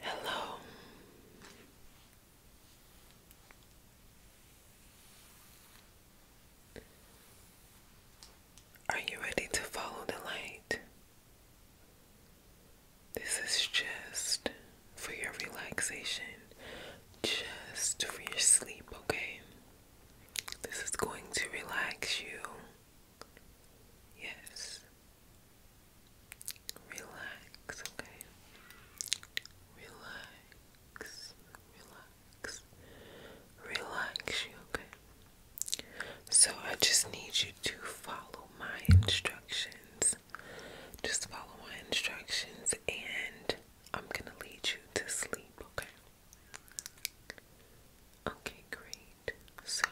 Hello. Are you ready to follow the light? This is just for your relaxation, just for your sleep, okay? This is going to relax you. Yes. Relax, okay? Relax, relax, relax okay? So I just need you to follow my instructions. Just follow my instructions and I'm gonna lead you to sleep, okay? Okay, great. So,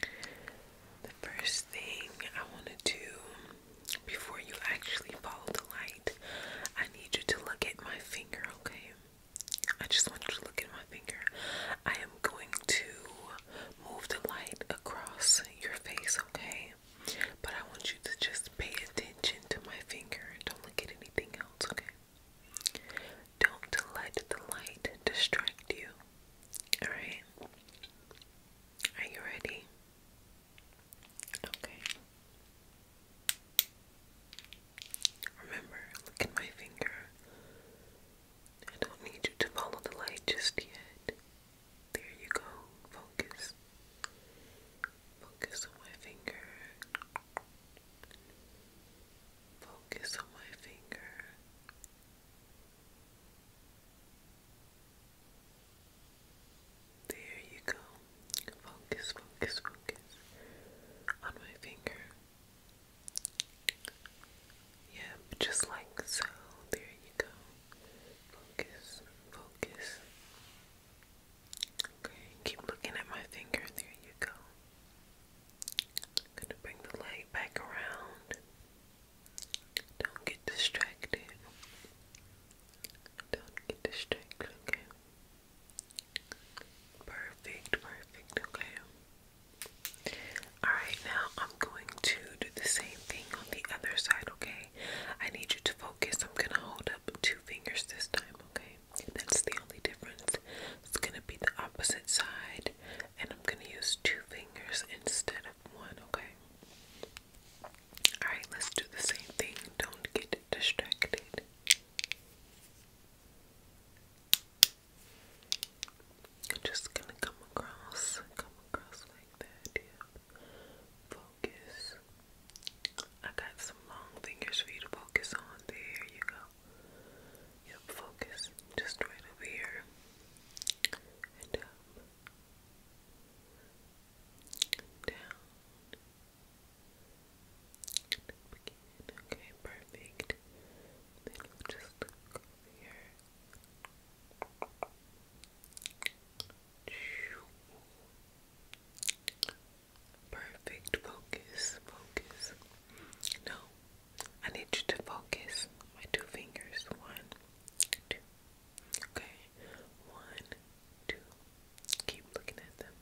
the first thing I want to do before you actually follow the light, I need you to look at my finger, okay? I just want you to look at my finger. I am going to move the light across your face, okay? But I want you to just pay attention to my finger don't look at anything else, okay? Don't let the light distract you. Alright. Are you ready? Okay. Remember, look at my finger. I don't need you to follow the light just yet. There you go. Focus. Focus on my finger. Focus on my finger. There you go. Focus, focus, focus on my finger. Yep, just like so. There you go. Focus, focus. Okay, keep looking at my finger. There you go. Gonna bring the light back around. Don't get distracted. Don't get distracted, okay? Perfect, perfect, okay. Alright, now I'm going to do the same thing on the other side, okay? I need you to focus. I'm gonna hold up two fingers this time, okay? That's the only difference. It's gonna be the opposite side and I'm gonna use two fingers instead of one, okay? Alright, let's do the same thing. Don't get distracted. I'm just gonna come across, come across like that, Focus. I got some long fingers for you to focus on. There you go. Yep, focus just right over here and down, Okay, perfect. Then just look here. Perfect focus, focus. No, I need you to focus my two fingers. One, two. Okay. One, two. Keep looking at them.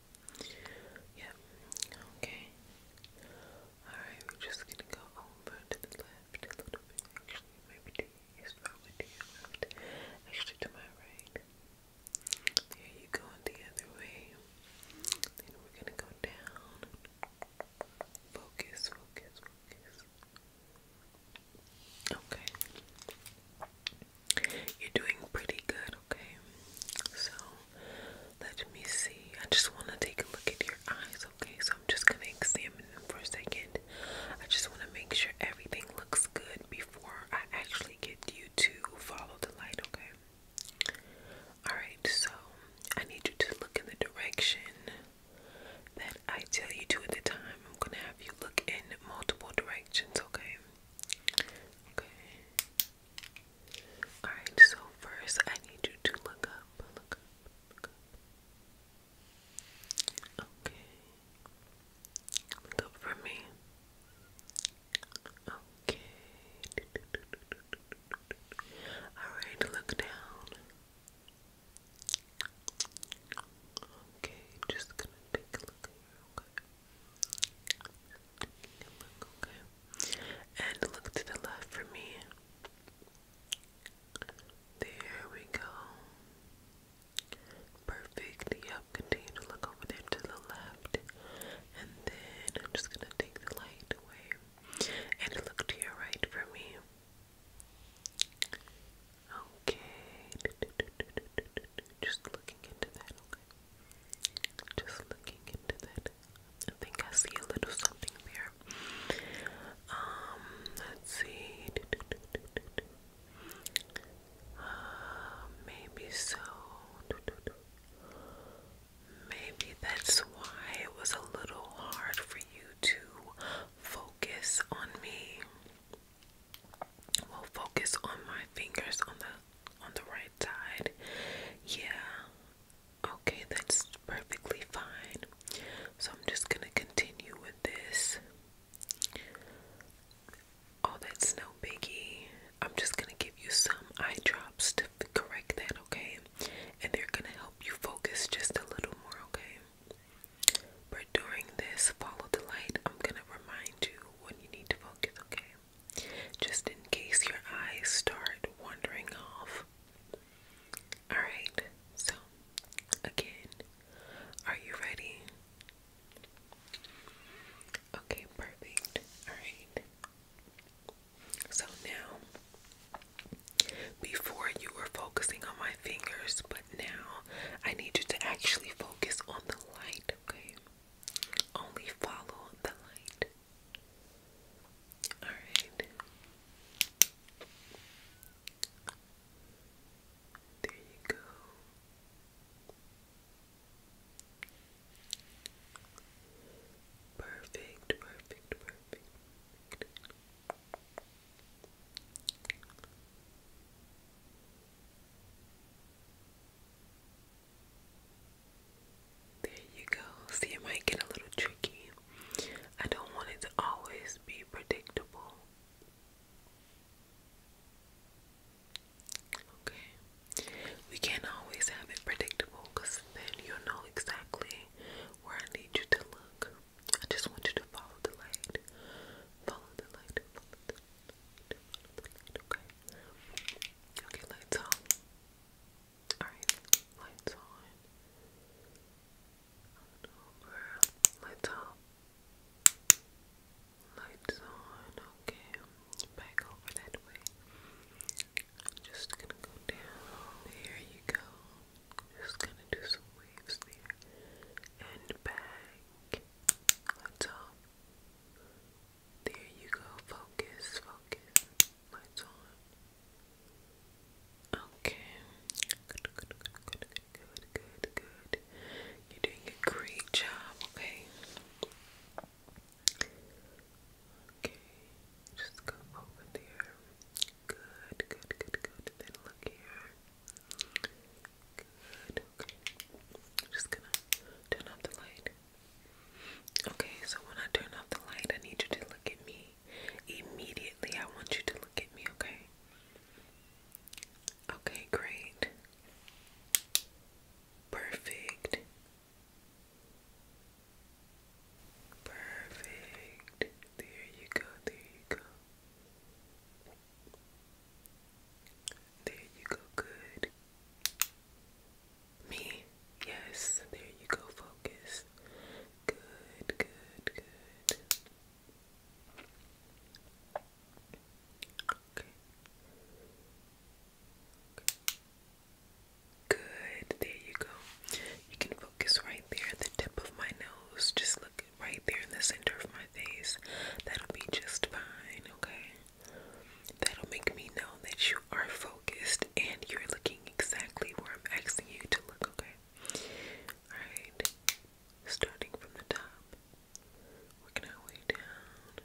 Yep. Okay. Alright, we're just gonna go over to the left a little bit. maybe to your left. Actually to my right. There you go the other way. Then we're gonna go down. Focus, focus, focus. Okay. You're doing pretty good, okay? So, let me see. I just want to take a look at your eyes, okay? So, I'm just going to examine them for a second. I just want to make sure everything looks good before I actually get you to follow the light, okay? Alright, so I need you to look in the direction that I tell you to at the time. I'm gonna have you look in multiple directions, okay? Okay. Alright, so first I need you to look up, Okay. Look up for me. Okay. Alright, look down. Okay, just gonna take a look okay? And look to the left for me. There we go. Perfect. Yep, continue to look over there to the left. And then I'm just gonna take the light away and look to your right for me. Okay. Just looking into that, Just looking into that. I think I see a little something there. Um, let's see. Uh, maybe so. Maybe that's why it was a little hard for you to focus on me. Well, focus on my fingers on the on the right side. Yeah. Okay, that's perfectly fine. So I'm just gonna continue with this. Oh, that's no biggie. I'm just gonna give you some eye drops to correct that, okay? And they're gonna help you focus just a little more, okay? But during this follow the light, I'm gonna remind you when you need to focus, okay? Just in case your eyes start wandering off. Alright, so again, are you ready? Okay, perfect. Alright. So now, before you were focusing on my fingers, but now I need you to actually focus on the light, okay? Only follow the light. Alright. There you go. Perfect, perfect, perfect. There you go. See, it might get a little tricky. I don't want it to always be predictable. Okay. We can't always have it predictable because then you'll know exactly where I need you to look. I just want you to follow the light. Follow the light. Follow the light. Okay. Okay, lights on. Alright, lights on. Lights off. Lights on. Okay. Back over that way. Just gonna go down. There you go. Just gonna do some waves there. And back. On There you go. Focus, focus. Lights on. Okay. Good, good, good, good, good, good, good. You're doing a great job, okay? Okay, just go over there. Good, good, good, good. Then look here. Good, okay. I'm just gonna turn off the light. Okay, so when I turn off the light, I need you to look at me. Immediately, I want you to look at me, okay? Okay, great. Perfect. Perfect. There you go. There you go. There you go. Good. Me. Yes. There you go. Focus. Good. Good. Good. Good, there you go. You can focus right there at the tip of my nose. Just look right there in the center of my face. That'll be just fine, okay? That'll make me know that you are focused and you're looking exactly where I'm asking you to look, okay? Alright, starting from the top, working our way down.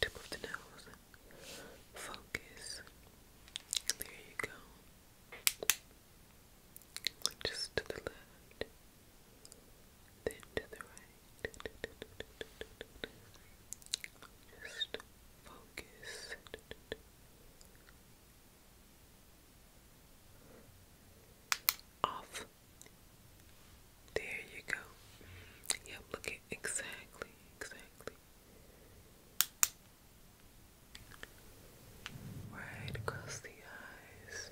tip of the nose, focus. There you go. Just to the left, then to the right. Just focus. Off. There you go. Yep, look at exactly, exactly. Right across the eyes.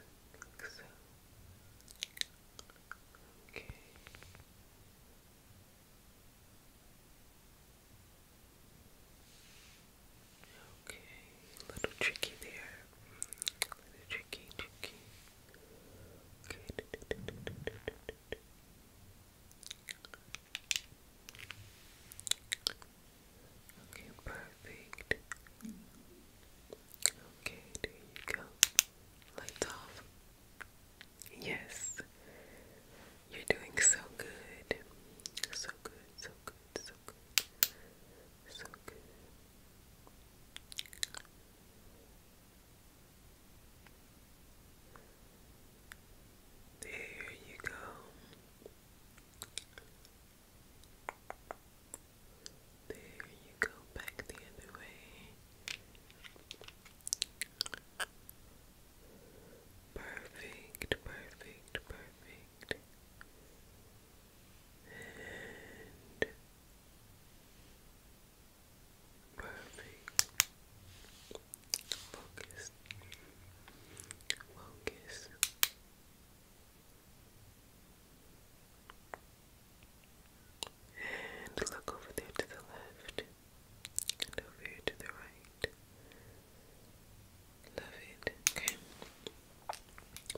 Okay. Okay, little tricky there. little tricky, tricky. Okay, perfect. Okay, there you go. Lights off. Yes, you're doing so good. So good, so good, so good, so good. There you go. There you go, back the other way. Perfect, perfect, perfect. And Focus. Focus. And look over there to the left. over here to the right. Love it. Okay.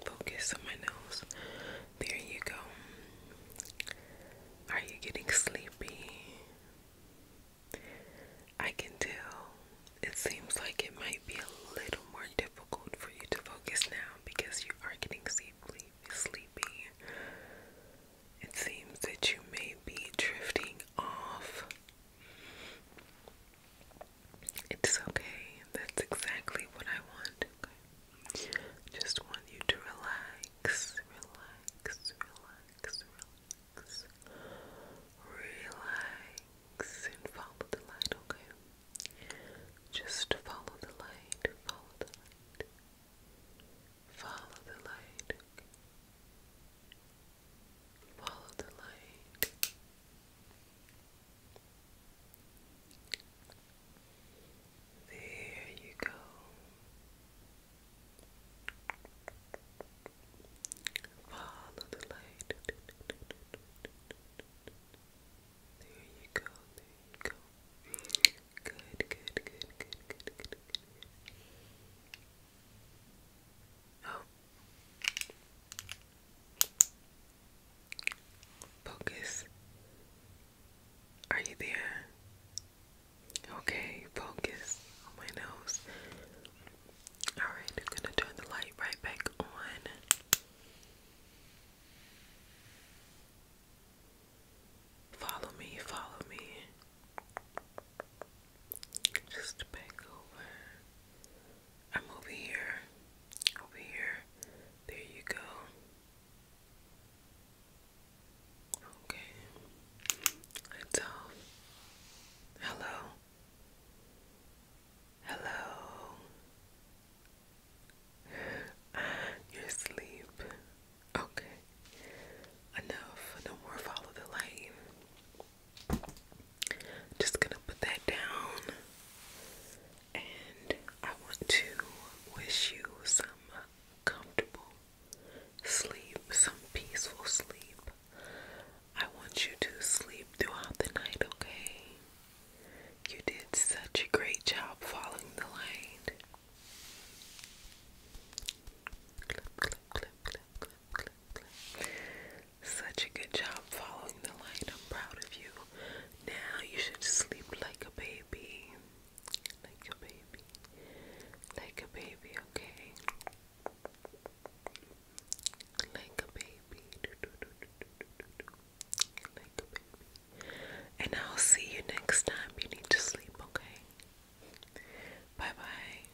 Focus on my nose. There you go. Are you getting sleepy? I can tell. It seems like it might be a little more difficult for you to focus now because you are getting sleepy. Sleepy. It seems that you may be drifting off. It's okay. That's exactly what I want. Okay. Just want you to relax, relax, relax, relax. Relax and follow the light, okay? Just follow the light, follow the light. Follow the light, Follow the light. There you go. Follow the light. There you go, there you go. Good, good, good, good, good, good, good. Oh. Focus. Are you there? Okay, focus on my nose. Alright, gonna turn the light right back on. Follow me, follow me. Just back over. I'm over here. Over here. There you go. Okay. It's off. Um, hello. Hello. You're asleep. Okay. Enough. No more follow the light. Just gonna put that down and I want to wish you some comfortable sleep, some peaceful sleep. I want you to sleep throughout the night, okay? You did such a great job following the line. Such a good job following the line. I'm proud of you. Now you should sleep like a baby. Like a baby. Like a baby, okay? Like a baby. Do, do, do, do, do, do, do. Like a baby. And I'll see you next time. You need to sleep, okay? Bye bye.